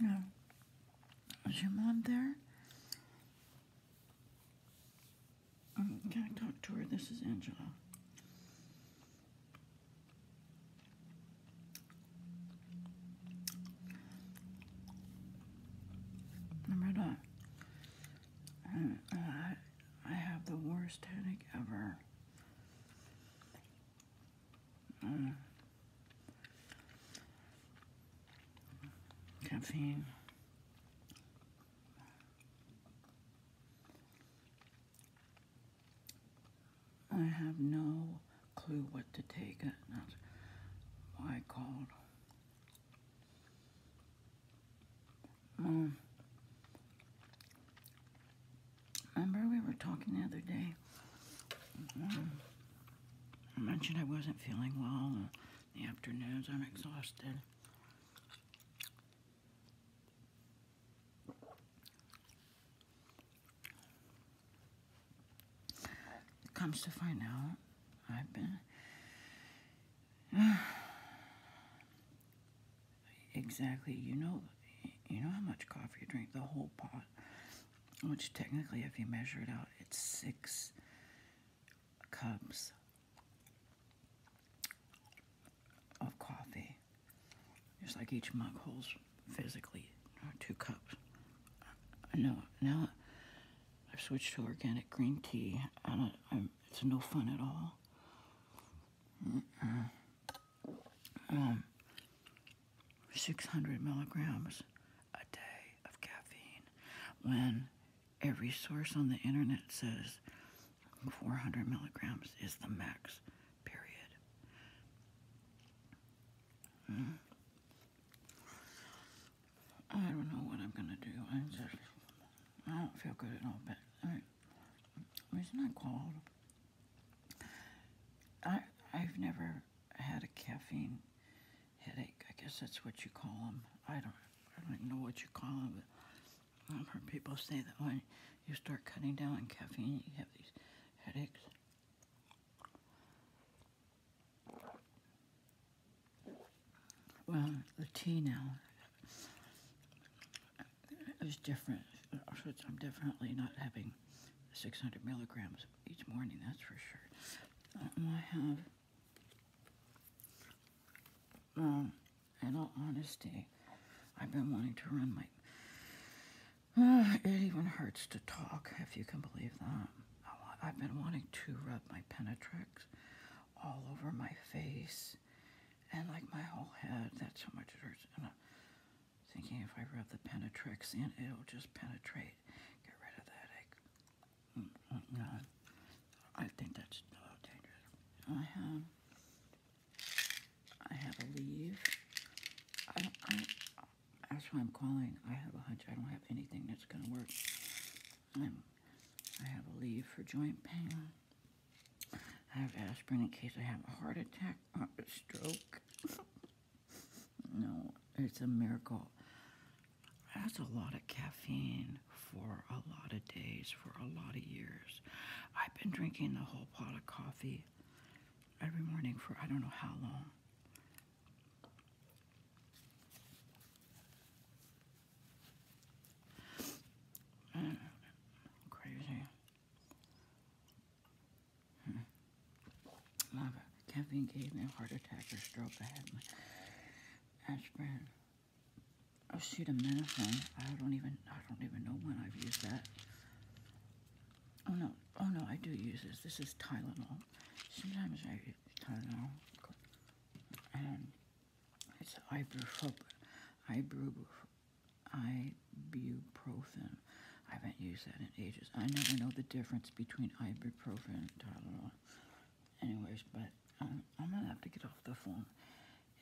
Now, zoom on there. I'm going to talk to her. This is Angela. Remember uh, I have the worst headache ever. Caffeine. I have no clue what to take. That's why I called. Um, Remember, we were talking the other day. Mm-hmm. I mentioned I wasn't feeling well the afternoons. I'm exhausted. comes to find out, I've been exactly. You know, you know how much coffee you drink, the whole pot, which technically, if you measure it out, it's six cups of coffee. Just like each mug holds physically uh, two cups. Uh, no, now I've switched to organic green tea, and it's no fun at all um, 600 milligrams a day of caffeine when every source on the internet says 400 milligrams is the max, period. Hmm. I don't know what I'm going to do. I just, I don't feel good at all, but I, it's not cold. I, I've never had a caffeine headache. I guess that's what you call them. I don't, I don't know what you call them. But I've heard people say that when you start cutting down on caffeine, you have these headaches. Well, the tea now is different. I'm definitely not having 600 milligrams each morning, that's for sure. Um, I have, um, in all honesty, I've been wanting to run my. Uh, it even hurts to talk, if you can believe that. I've been wanting to rub my penetrax all over my face and like my whole head. That's how much it hurts. Uh, Thinking if I rub the penetrax in, it'll just penetrate. Get rid of that egg. Mm, mm -mm, I think that's a little dangerous. I have, I have a leaf. that's why I'm calling. I have a hunch. I don't have anything that's gonna work. I'm, um, I have a leave for joint pain. I have aspirin in case I have a heart attack or a stroke. no, it's a miracle. That's a lot of caffeine for a lot of days, for a lot of years. I've been drinking the whole pot of coffee every morning for I don't know how long. crazy. Hmm. Lava. Caffeine gave me a heart attack or stroke. I had my aspirin. Acetaminophen. I don't even I don't even know when I've used that. Oh no, oh no, I do use this. This is Tylenol. Sometimes I use Tylenol. And it's ibuprofen. Ibuprofen ibuprofen. I haven't used that in ages. I never know the difference between ibuprofen and Tylenol. Anyways, but um, I'm gonna have to get off the phone.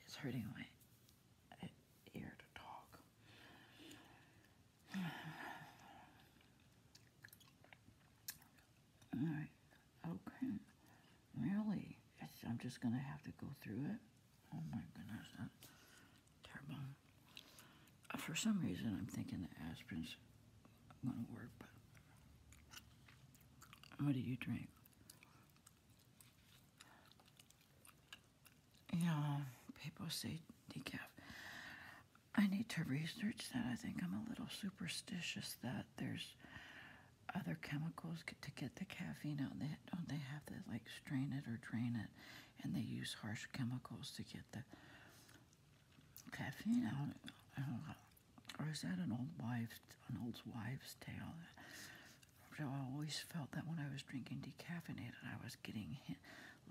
It's hurting my uh, ear to talk. All right. Okay. Really? I'm just gonna have to go through it. Oh my goodness, terrible. Uh, for some reason, I'm thinking the aspirin's going to work, but what do you drink? Yeah, people say decaf. I need to research that. I think I'm a little superstitious that there's other chemicals to get the caffeine out. They don't they have to like strain it or drain it, and they use harsh chemicals to get the caffeine out. Or is that an old wives an old wives' tale? I always felt that when I was drinking decaffeinated, I was getting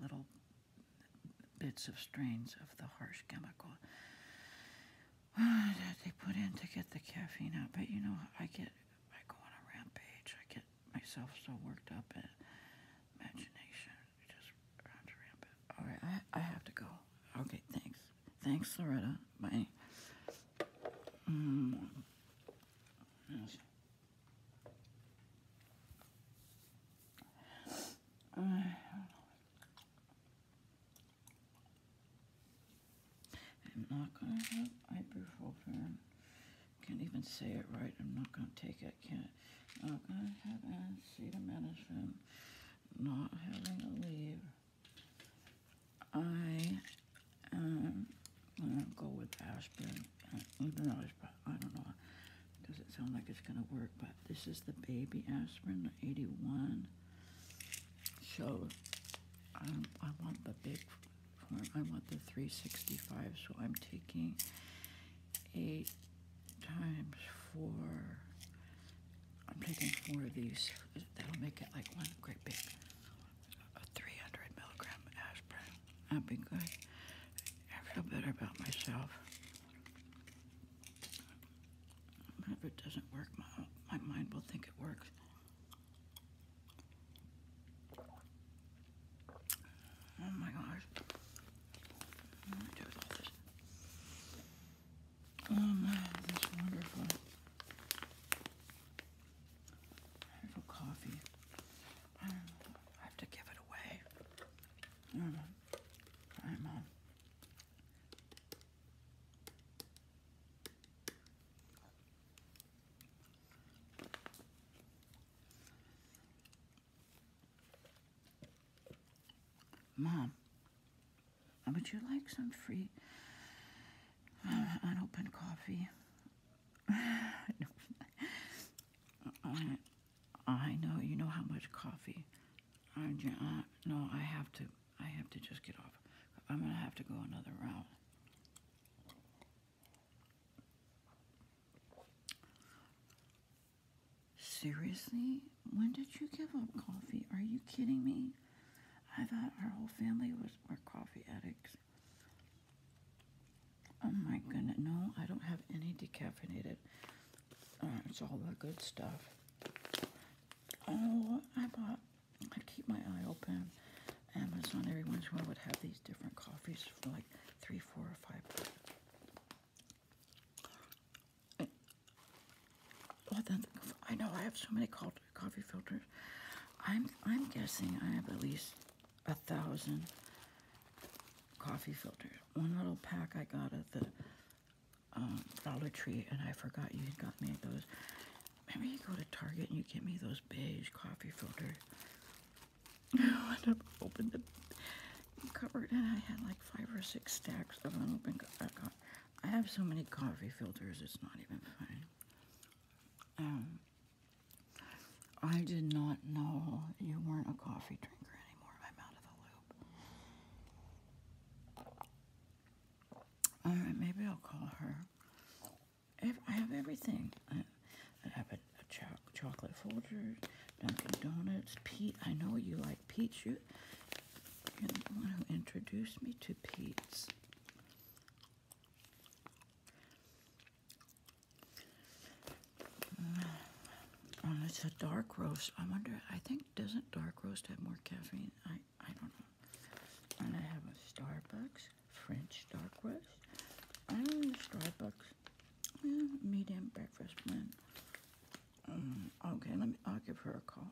little bits of strains of the harsh chemical that they put in to get the caffeine out. But you know, I get I go on a rampage. I get myself so worked up in imagination. Just runs rampant. All right, I, I have to go. Okay, thanks. Thanks, Loretta. Bye. Mm. I'm not going to have ibuprofen. Can't even say it right. I'm not going to take it. Can't. Not going to have acetaminophen. Not having a leave. I am going to go with aspirin. Uh, even though I don't know. It doesn't sound like it's going to work, but this is the baby aspirin, the 81. So um, I want the big I want the 365, so I'm taking 8 times 4. I'm taking four of these. That'll make it like one great big a 300 milligram aspirin. That'd be good. I feel better about myself. If it doesn't work, my mind will think it works. Oh my gosh. Oh man, wonderful. Wonderful coffee. I, have to give it away. Mm-hmm. All right, Mom. Mom, would you like some free uh, unopened coffee? I, I know you know how much coffee. I, uh, no, I have to. I have to just get off. I'm gonna have to go another route. Seriously? When did you give up coffee? Are you kidding me? I thought our whole family was more coffee addicts. Oh my goodness. No, I don't have any decaffeinated. Uh, it's all the good stuff. Oh, I bought I'd keep my eye open. Amazon every once in a while would have these different coffees for like three, four, or five. well, then, I know I have so many coffee filters. I'm I'm guessing I have at least a thousand coffee filters. One little pack I got at the um, Dollar Tree, and I forgot you got me those. Maybe you go to Target and you get me those beige coffee filters. I opened the cupboard and I had like five or six stacks of unopened. I have so many coffee filters, it's not even funny. Um, I did not know you weren't a coffee drinker anymore. I'm out of the loop. All right, maybe I'll call her. I have everything. I, have a, chocolate folder, Dunkin' Donuts, Pete. I know you like Pete's. You, you're the one who introduced me to Pete's. Oh, it's a dark roast. I wonder, I think, doesn't dark roast have more caffeine? I I don't know. And I have a Starbucks French dark roast. I am the Starbucks yeah, medium breakfast blend. Um, okay, let me. I'll give her a call.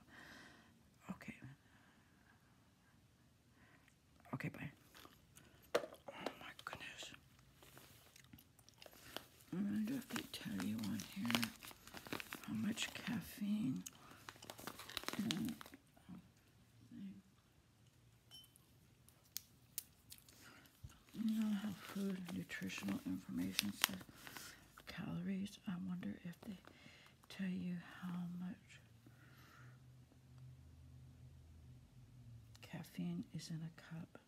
Okay. Okay, bye. Oh my goodness. I'm gonna have to tell you on here how much caffeine. Um, you know how food nutritional information says calories. I wonder if they tell you how much caffeine is in a cup.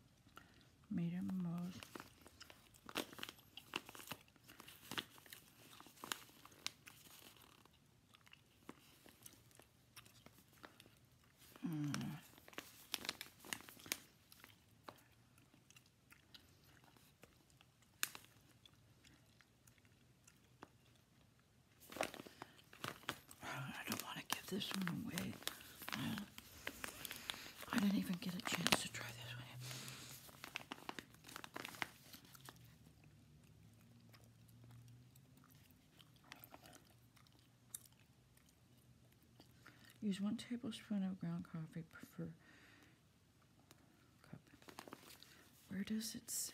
Medium mode. Mm. I don't want to give this one away. I didn't even get a chance to try this one. Use one tablespoon of ground coffee per cup. Where does it say?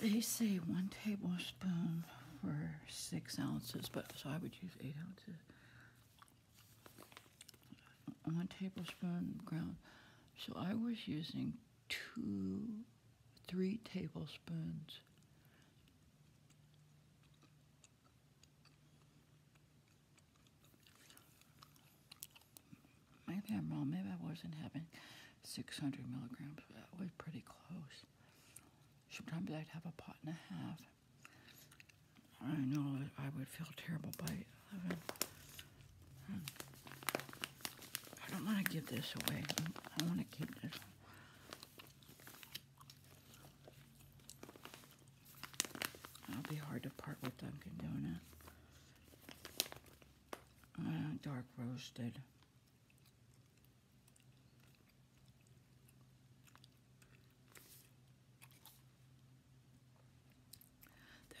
They say one tablespoon for six ounces, but so I would use eight ounces. One tablespoon ground. So I was using two, three tablespoons. Maybe I'm wrong. Maybe I wasn't having 600 milligrams, that was pretty close. Sometimes I'd have a pot and a half. I know I would feel terrible by 11. Hmm. I don't want to give this away. I want to keep this. It'll be hard to part with Dunkin' Donuts. Uh, dark roasted.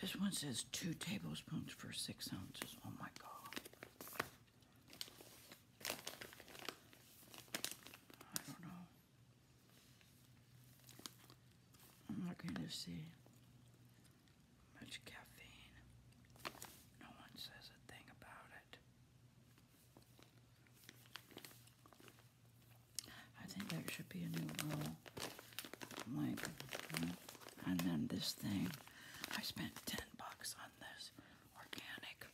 This one says two tablespoons for six ounces. Oh my God. I don't know. I'm not going to see much caffeine. No one says a thing about it. I think there should be a new rule. Like, and then this thing. I spent 10 bucks on this organic.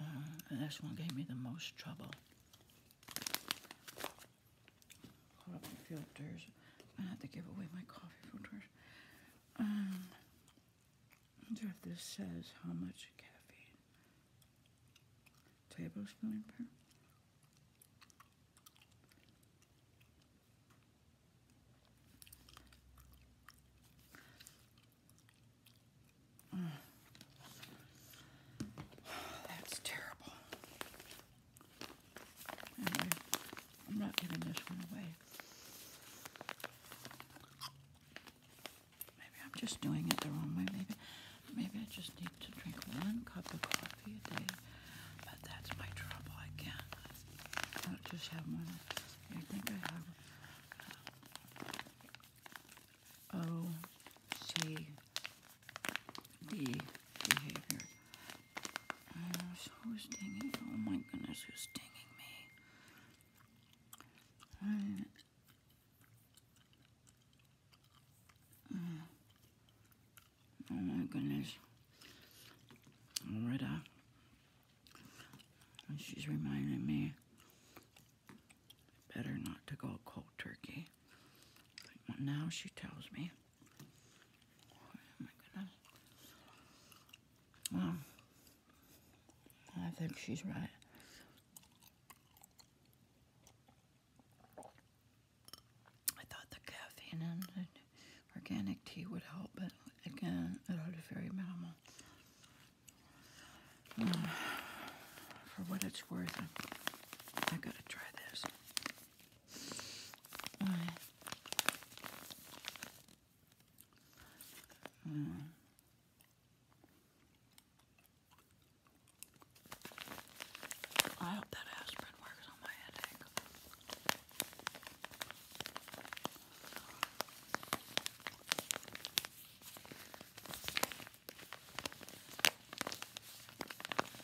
and uh, this one gave me the most trouble. Coffee filters. I have to give away my coffee filters. Um, I wonder if this says how much caffeine. Tablespoon per. That's terrible. Anyway, I'm not giving this one away. Maybe I'm just doing it the wrong way. Maybe, maybe I just need to drink one cup of coffee a day. But that's my trouble. I can't. I just have one. I think I have uh, the behavior. Uh, who's stinging? Oh my goodness, who's stinging me? Uh, oh my goodness. Loretta. And oh, she's reminding me better not to go cold turkey. now she tells me. Oh my goodness. I think she's right. I thought the caffeine and organic tea would help, but again, it was very minimal. Mm. for what it's worth, I gotta try this. Mm. I hope that aspirin works on my headache.